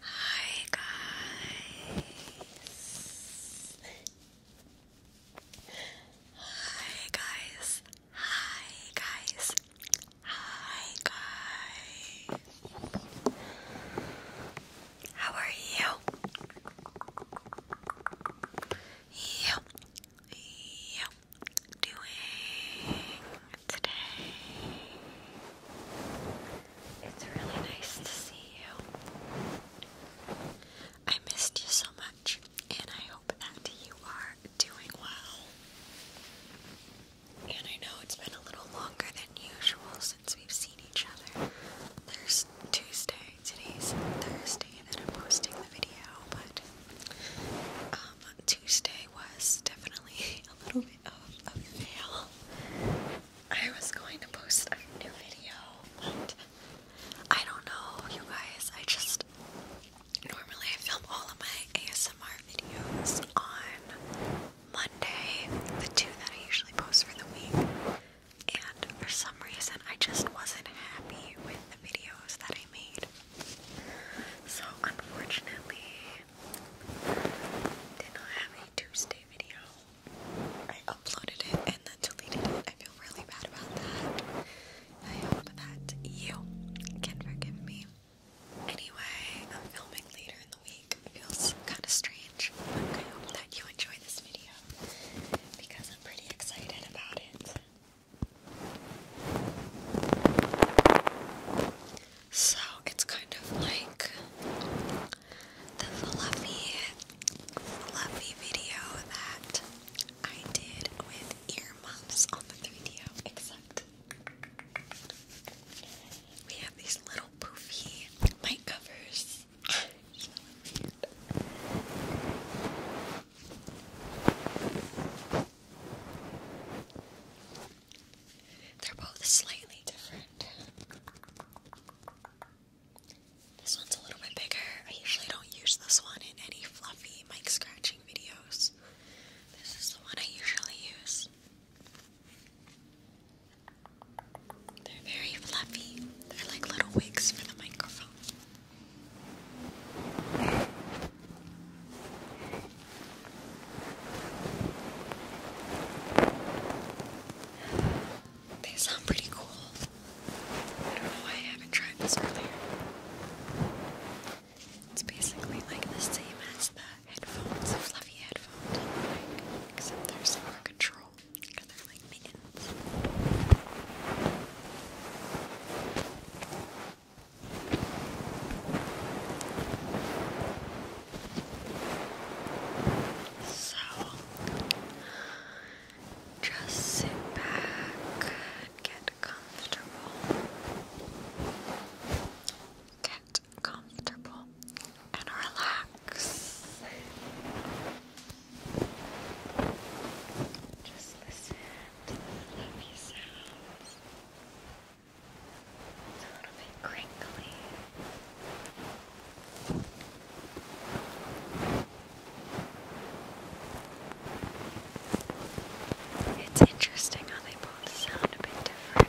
Hi guys. Hi guys. Hi guys. Hi guys. How are you? You. You doing today. It's really nice to see you. I missed you so much, and I hope that you are doing well. And I know it's been a little longer than usual since we've seen each other. There's Tuesday, today's Thursday that I'm posting the video, but um, um, Tuesday was definitely a little bit of a fail. I was going to post a new video, but I don't know, you guys. I just normally I film all of my ASMR videos on Monday, the two that I usually post for the week. And for some reason, I just wasn't happy with the videos that I made. So, unfortunately, did not have a Tuesday video. I uploaded it and then deleted it. I feel really bad about that. I hope that you can forgive me. Anyway, I'm filming later in the week. It feels kind of strange, but I hope that you enjoy this video because I'm pretty excited about it. So it's kind of like the fluffy, fluffy video that I did with earmuffs on the 3DO, except we have these little poofy mic covers. They're both slightly different. This one's a little bit bigger. I usually don't use this one in any fluffy mic scratching videos. This is the one I usually use. They're very fluffy. They're like little wigs for the microphone. They sound pretty cool. I don't know why I haven't tried this earlier. It's basically like the same as the headphones, the fluffy headphones, except they more control because they're like mittens. So just sit back and get comfortable. Get comfortable and relax. Just listen to the lovely sounds. It's a little bit crinkly. It's interesting how they both sound a bit different.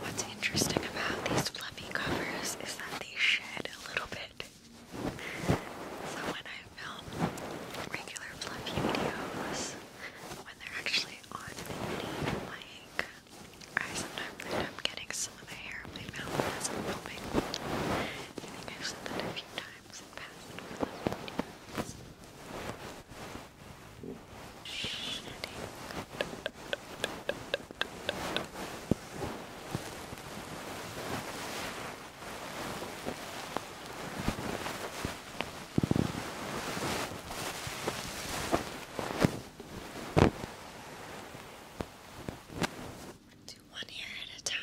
What's interesting about these fluffy covers is that they shed a little bit. So when I film regular fluffy videos, when they're actually on the like I sometimes end up getting some of the hair in my as I'm filming. I think I've said that a few times in past videos. Do one ear at a time.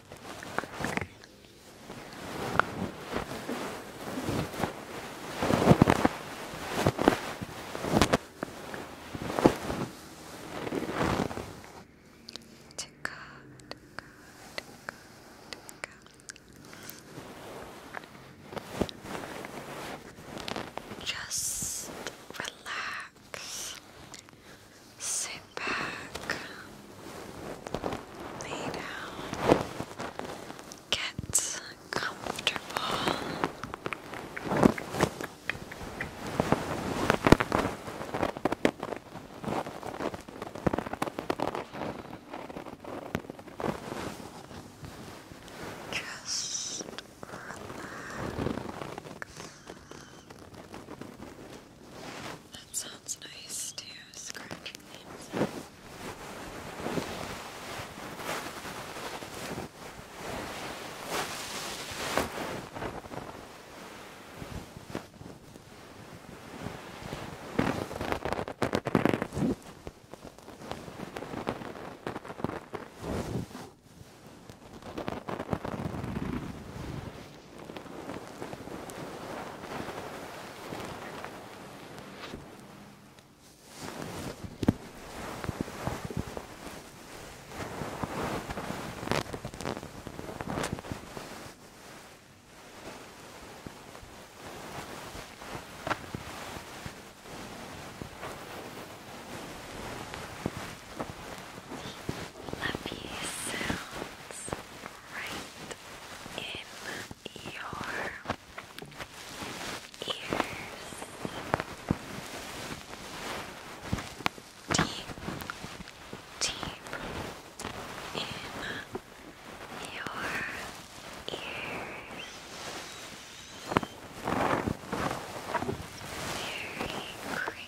Ticka, ticka, ticka, ticka. Just relax back, lay down, get comfortable. Just relax. That's sounds nice to scratch the inside. Lovely sounds right in your ears. Deep, deep in your ears. Very crinkly.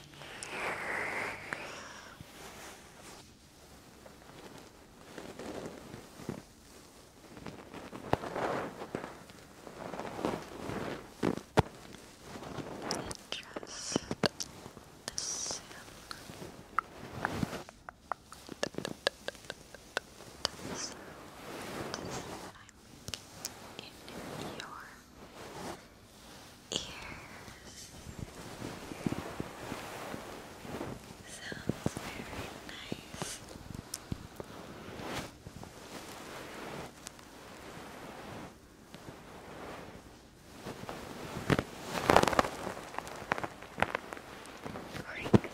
Just listen. Just listen in your ears. Sounds very nice. Crinkly.